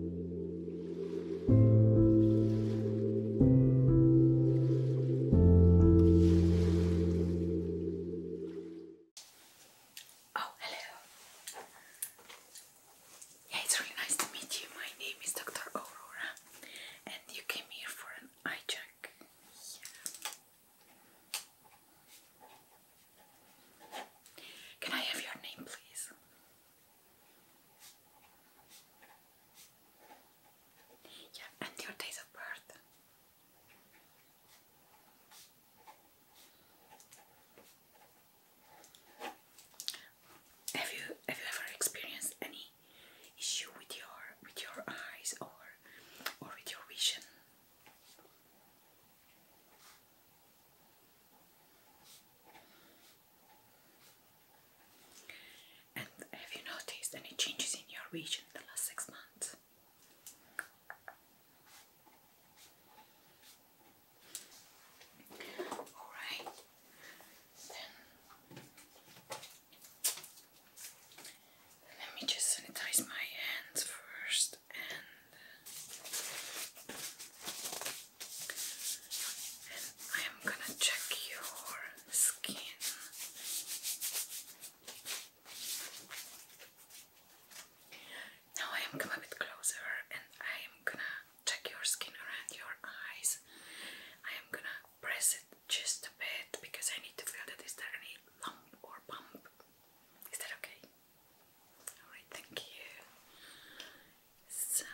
Oh, hello. Yeah, it's really nice to meet you. My name is Dr. Aurora, and you came here for an eye check. Can I have your name, please? Yeah, and your date of birth. Have you have you ever experienced any issue with your with your eyes or or with your vision? And have you noticed any changes in your region in the last six months? Alright, let me just sanitize my hands first and I am gonna check your skin. Now I am coming a bit closer and I am gonna check your skin around your eyes. I am gonna press it just a bit because I need to feel that is there any lump or bump. Is that okay? Alright, thank you. So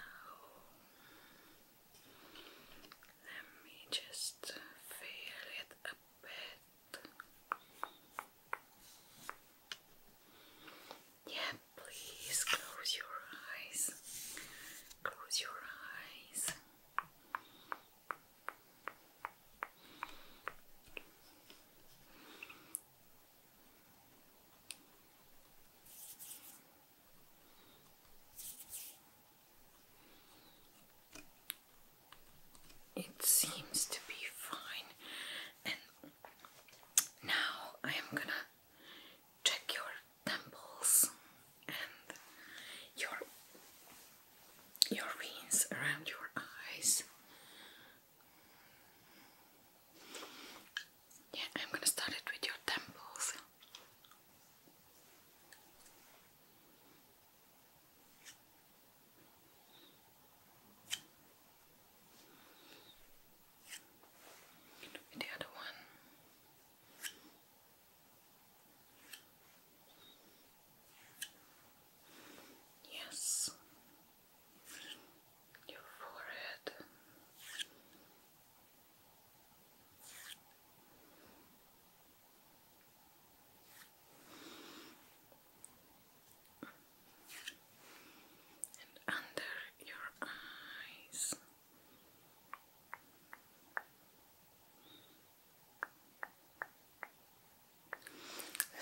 let me just feel it a bit. Yeah, please close your eyes. Close your eyes. It seems to be fine, and now I am gonna check your temples and your your rings around your eyes. Yeah, I'm gonna start it with your temples. the other one. Yes your forehead. And under your eyes,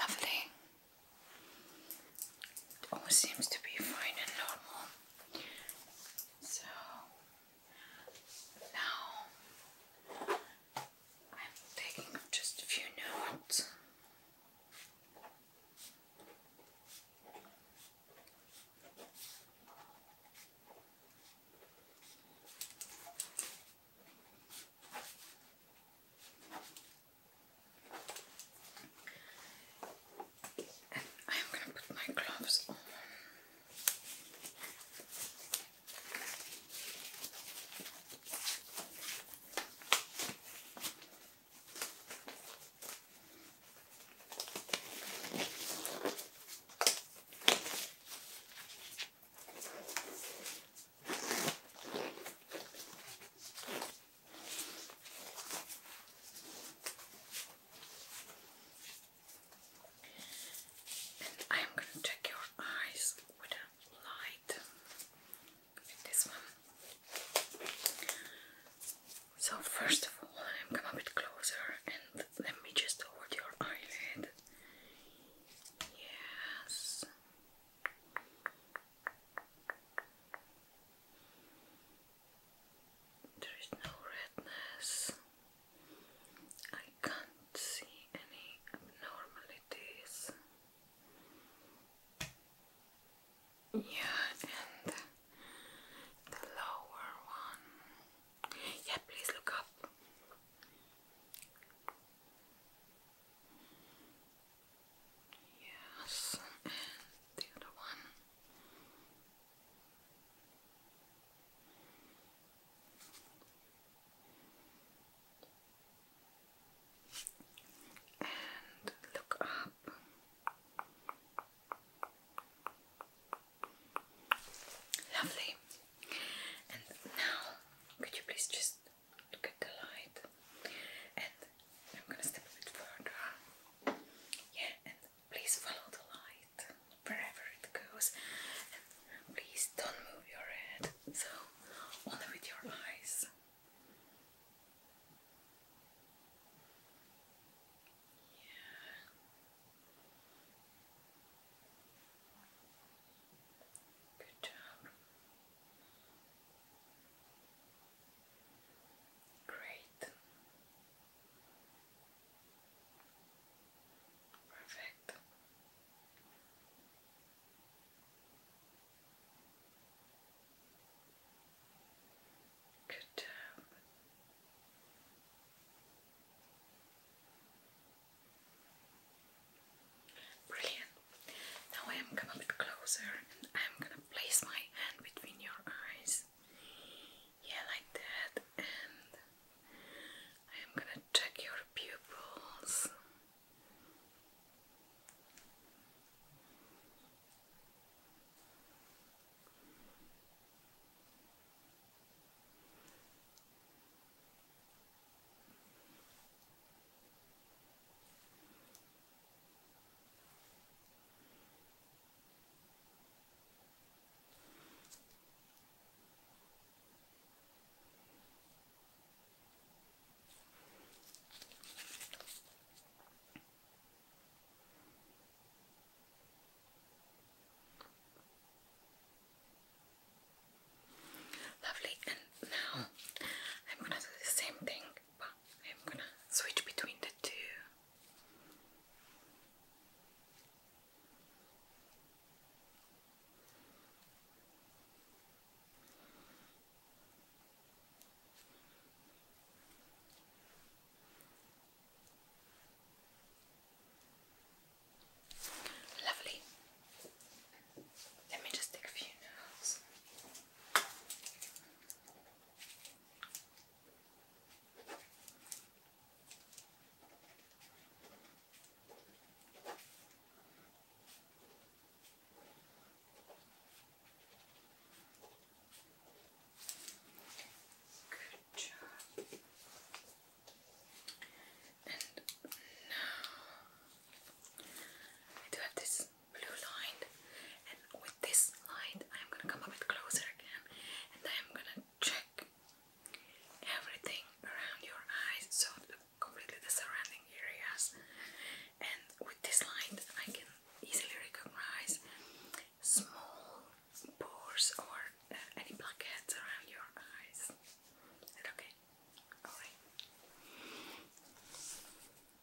lovely. It all seems to be fine and normal. So now I'm taking just a few notes. And I'm gonna put my gloves on. I'm going to check your eyes with a light. this one. So, first of all, I'm coming a bit closer and let me just hold your eyelid. Yes. There is no redness. I can't see any abnormalities. Yeah, and the lower one. Yeah, please look up. Yes, and the other one. And look up. Lovely. And now, could you please just look at the light and I'm gonna step a bit further. Yeah, and please follow the light wherever it goes. And please don't move your head. So only with your eyes. Yeah. Good job. Great. Perfect. Good job. Brilliant. Now I am coming a bit closer and I'm gonna place my hand between your eyes. Yeah, like that. And I am gonna check your pupils. Lovely, and now I'm gonna do the same thing I'm gonna switch between the two. Lovely. Let me just take a few notes. Good job. And now I do have this blue line and with this light I'm gonna come a bit closer again and I'm gonna check everything around your eyes so completely the surrounding areas and with this light I can easily recognize small pores or uh, any blackheads around your eyes. okay? Alright.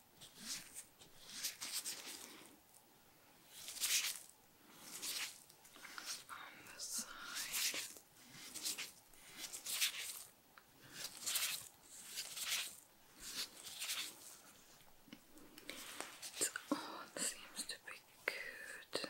It all seems to be good.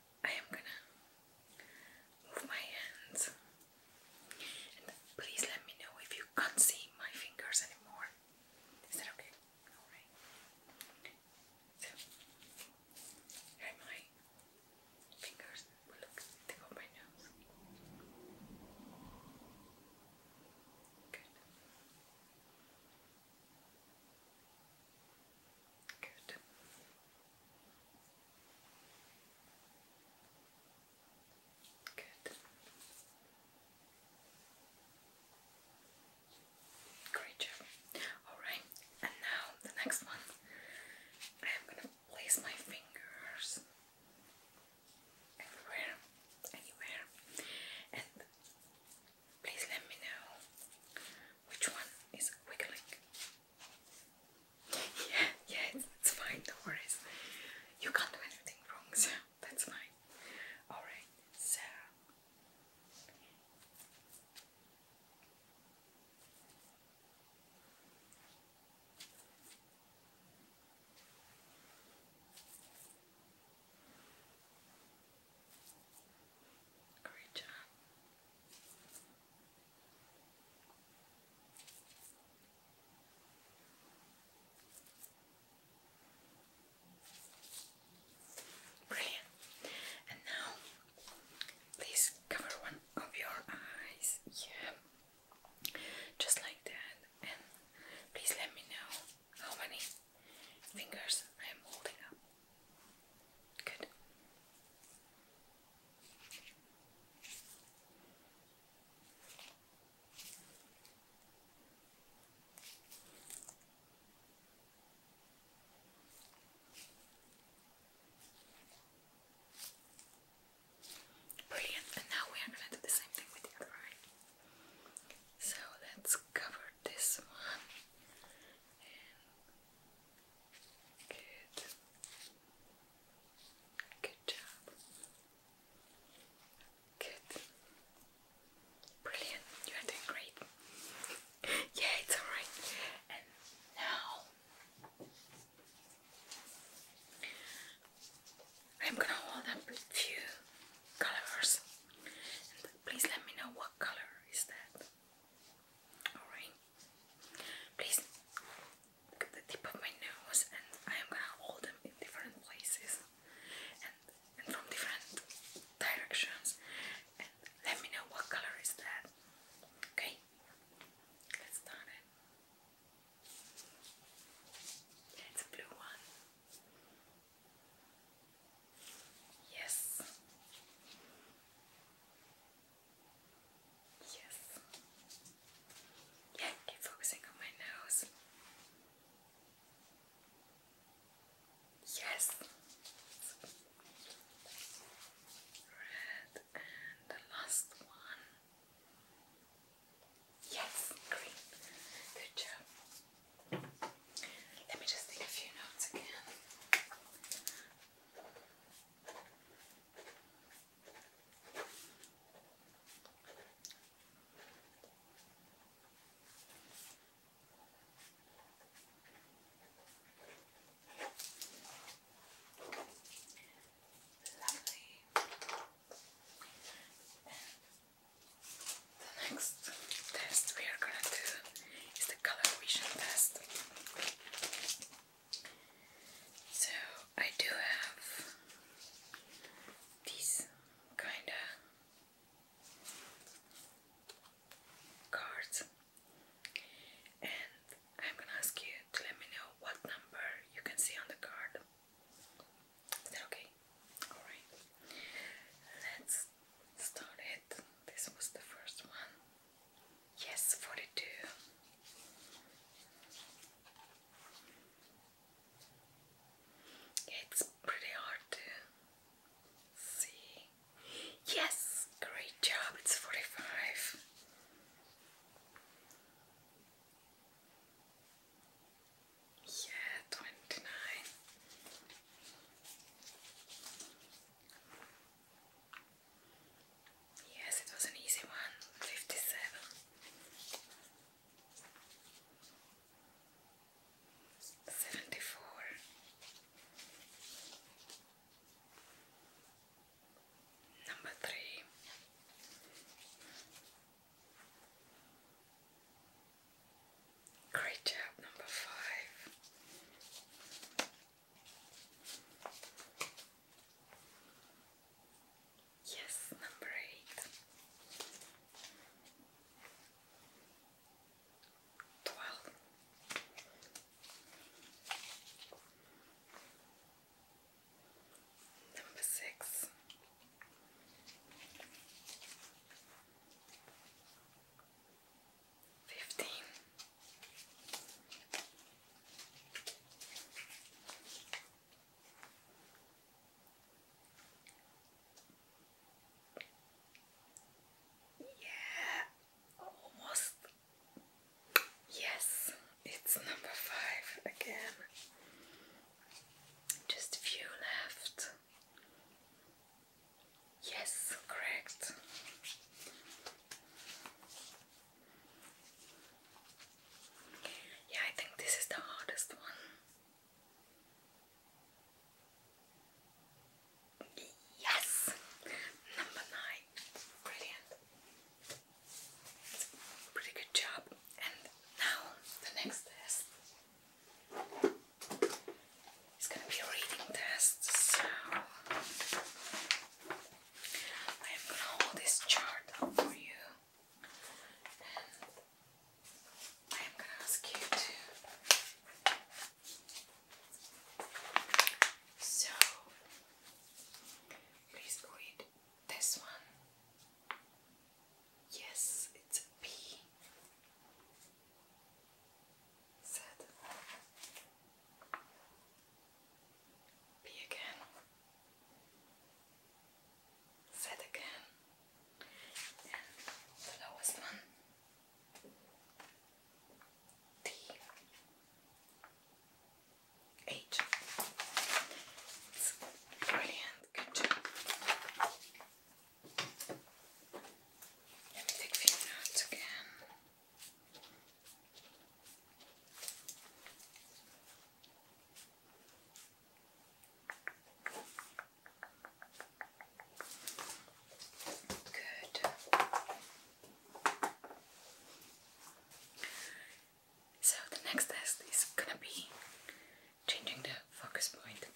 I am gonna move my hands. please let me know if you can't see my fingers anymore. Is that okay? Alright. So, here my fingers. Look, they go my nose. Good. Good. Good. Great job. Alright, and now the next one. I am gonna place my fingers everywhere, anywhere, Please let me know which one is wiggling. Yeah, yeah, it's, it's fine, no worries. You can't do anything wrong, so that's fine. Alright, so. Great job. Brilliant. And now, please cover one of your eyes. Yeah. Just like that. And please let me know how many fingers I am holding up. Good. Brilliant, and now we are going to do the same thing with the other eye. So let's cover this one Good. Good job. Good. Brilliant. You are doing great. yeah, it's alright. And now I'm gonna hold up a few colors. please let me know what color is that. Alright. Please look at the tip of my nose and I am gonna hold them in different places and, from different directions and let me know what color is that. Okay? Let's start it. It's a blue one. Yes. Yes. Yeah, keep focusing on my nose. Yes. Red and the last one. Yes, green. Good job. Let me just take a few notes again. the next test we are going to do it's the color vision test. So I do have these kinda cards and I'm gonna ask you to let me know what number you can see on the card. Is that okay? Alright. Let's started. This was the first one. Yes, 42. It's pretty hard to see. Yes, great job, it's 45. Yeah, 29. Yes, it was an easy one. Fifty seven. Number three. Great job, number five. Yes, number eight. Number six fifteen. Yeah, almost. Yes, it's number five again. Just a few left. Yes, correct. Yeah, I think this is the hardest one. Yes, number nine. Brilliant. Pretty good job. And now the next test. It's gonna be a reading test, so I am gonna hold this chart up for you I am gonna ask you to so please read this one. Yes, it's a bee. Set. Be again. Set again. And the lowest one. T. H. brilliant. Good job. Let me take a few notes again. Good. So the next test is gonna be changing the focus point.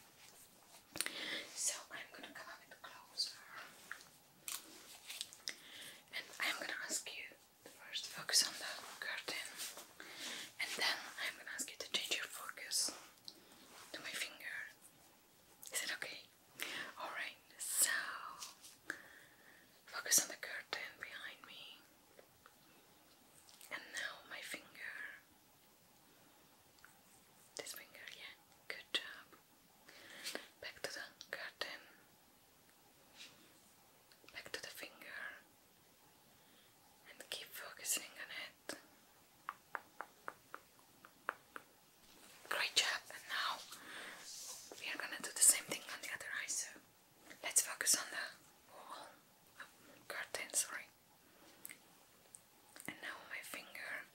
So I'm gonna come a bit closer and I'm gonna ask you to first focus on the curtain and then I'm gonna ask you to change your focus to my finger. Is it okay? Alright, so focus on the curtain behind me and now my finger. This finger, yeah, good job back to the curtain, back to the finger, and keep focusing on it. Great job, and now we are gonna do the same thing on the other eye, so let's focus on the wall, oh, curtain, sorry. And now my finger,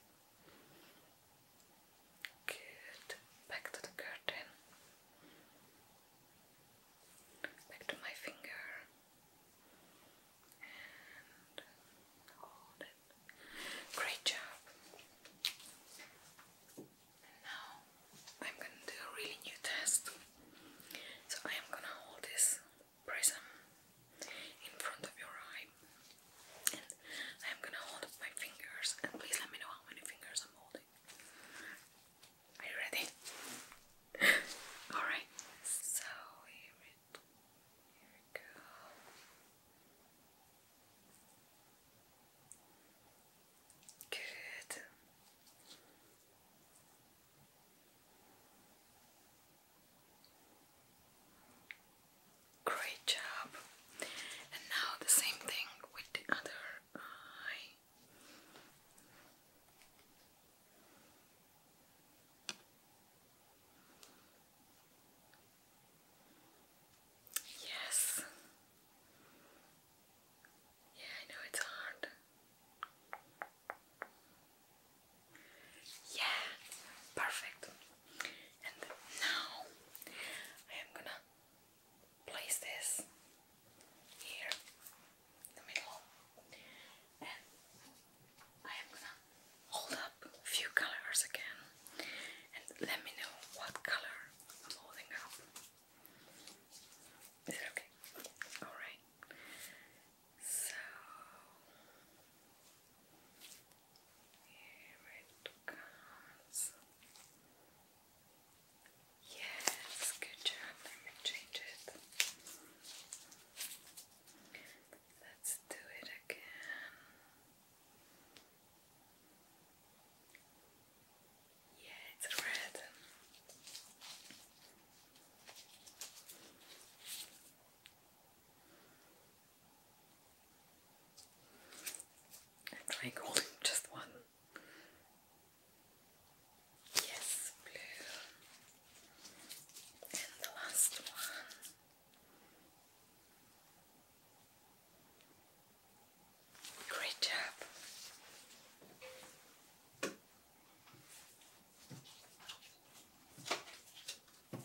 Good. Back to the curtain. Back to my finger. And hold it. Great job. And now I'm going to do a really new test. So I am going to hold this prism in front of your eye and I'm gonna hold up my fingers and please let me know how many fingers I'm holding. Are you ready? Alright, so here, we go. Good. Great job. And now the same thing with the other eye. Yes. Yeah, I know it's hard. Yeah, perfect. And now I am gonna place this here in the middle and I am gonna hold up a few colors again and let me know what color I'm holding up. Is it okay? Alright. So here it comes. Yes, good job. Let me change it. Let's do it again. Yeah, it's red. I'm trying holding just one. Yes, blue. And the last one. Great job. I'm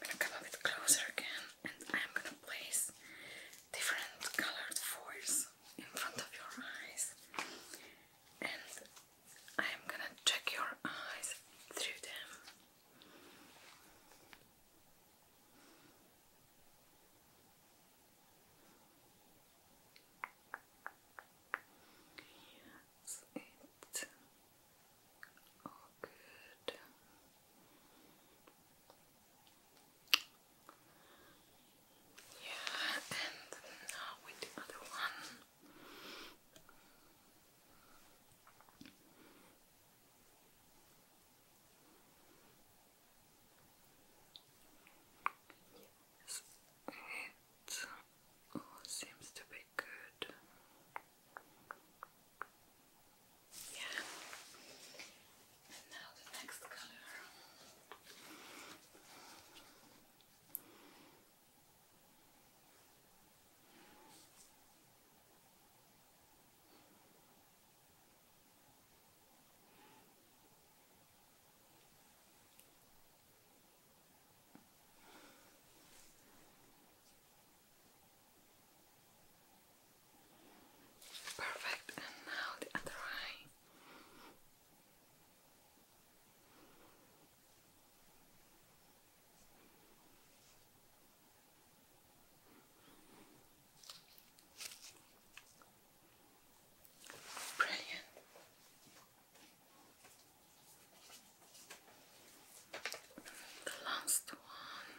gonna come a bit closer again and I'm gonna place different colored foils in front of your eyes and I'm gonna check your eyes through them. That's it. All good. Yeah, and now with the other one it all seems to be good. Yeah. And now the next color. Perfect, and now the other eye. Brilliant. The last one.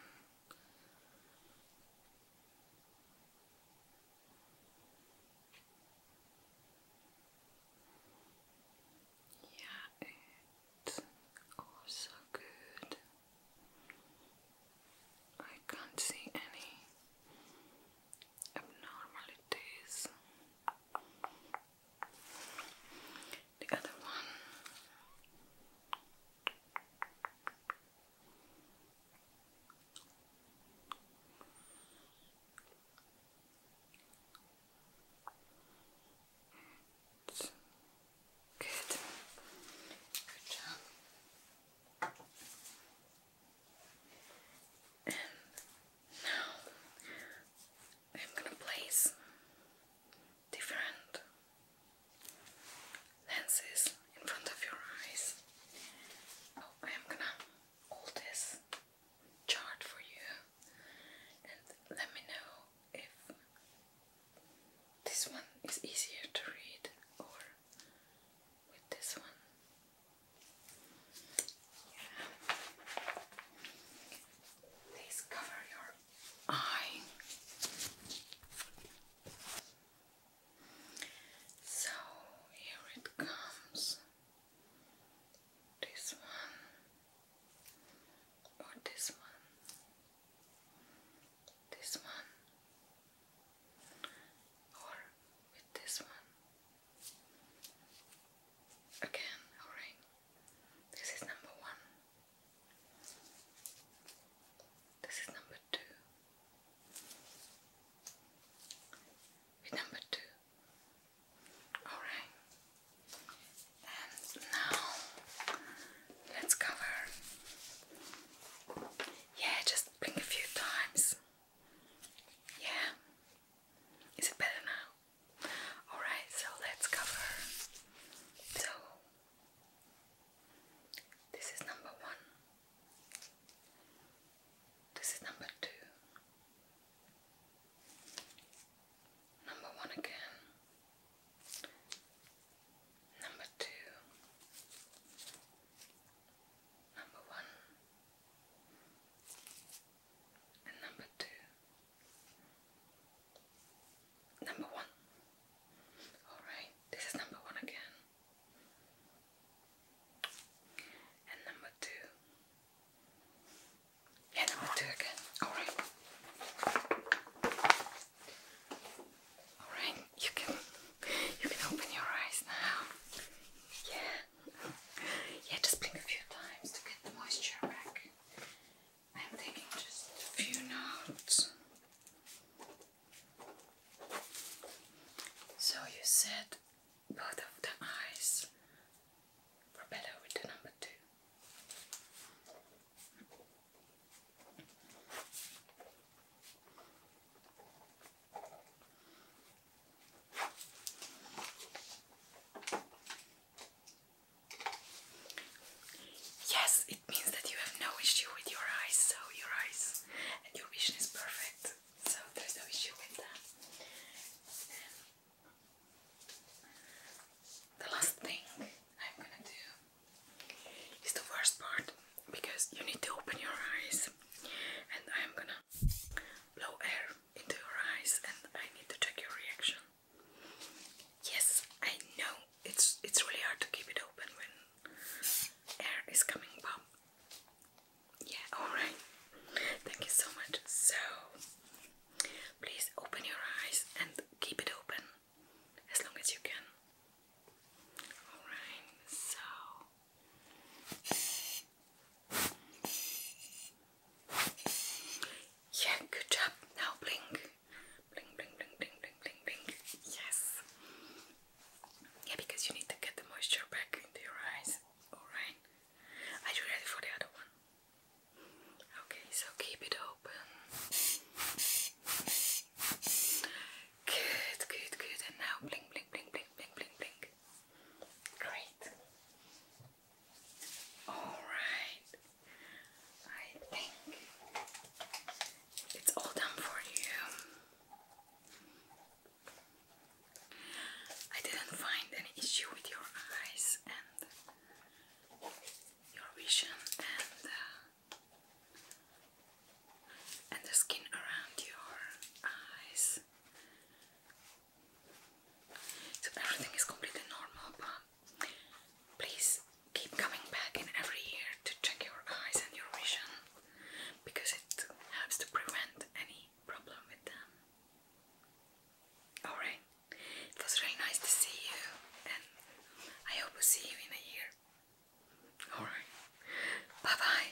Yeah, it's also good. I can't see any abnormalities. The other one. good. Good job. And now I'm gonna place different lenses in front of your eyes. Oh, I am gonna hold this chart for you and let me know if this one is easier to read or with this one. Yeah. Please So here it comes. This one, or this one, this one, or with this one. Again, a This is number one. This is number two. With number two. Alright. And now let's cover. Yeah, just blink a few times. Yeah. Is it better now? Alright, so let's cover. So, this is number one, this is number two, number one again, number two, number one. And number two. Number one. Alright, this is number one again. And number two. Yeah, number two again. Alright. Alright, you can you can open your eyes now. Yeah yeah, just blink a few times to get the moisture back. I'm taking just a few notes. So you said both of the eyes were better with the number two. Yes, it means that you have no issue with your eyes, so your eyes and your vision is perfect, so there's no issue with that. The last thing I'm gonna do is the first part because you need to open your eyes and I'm gonna blow air into your eyes and I need to check your reaction. Yes, I know it's it's really hard to keep it open when air is coming Yeah, alright. Thank you so much. So please open your eyes and keep it open as long as you can. Alright, so yeah, good job. Now blink. Blink, blink, blink, blink, blink, blink, Yes. Yeah, because you need to get the moisture back into your eyes. Alright. Are you ready for the other one? Okay, so keep it open. Good, good, good. And now blink, blink, blink, blink, blink, blink. Great. Alright. I think it's all done for you. I didn't find any issue with your eyes and your vision and uh, and the skin around your eyes. So everything is completely normal, but please keep coming back in every year to check your eyes and your vision because it helps to prevent any problem with them. Alright, it was really nice to see you, and I hope to see you in a year. Alright, bye bye.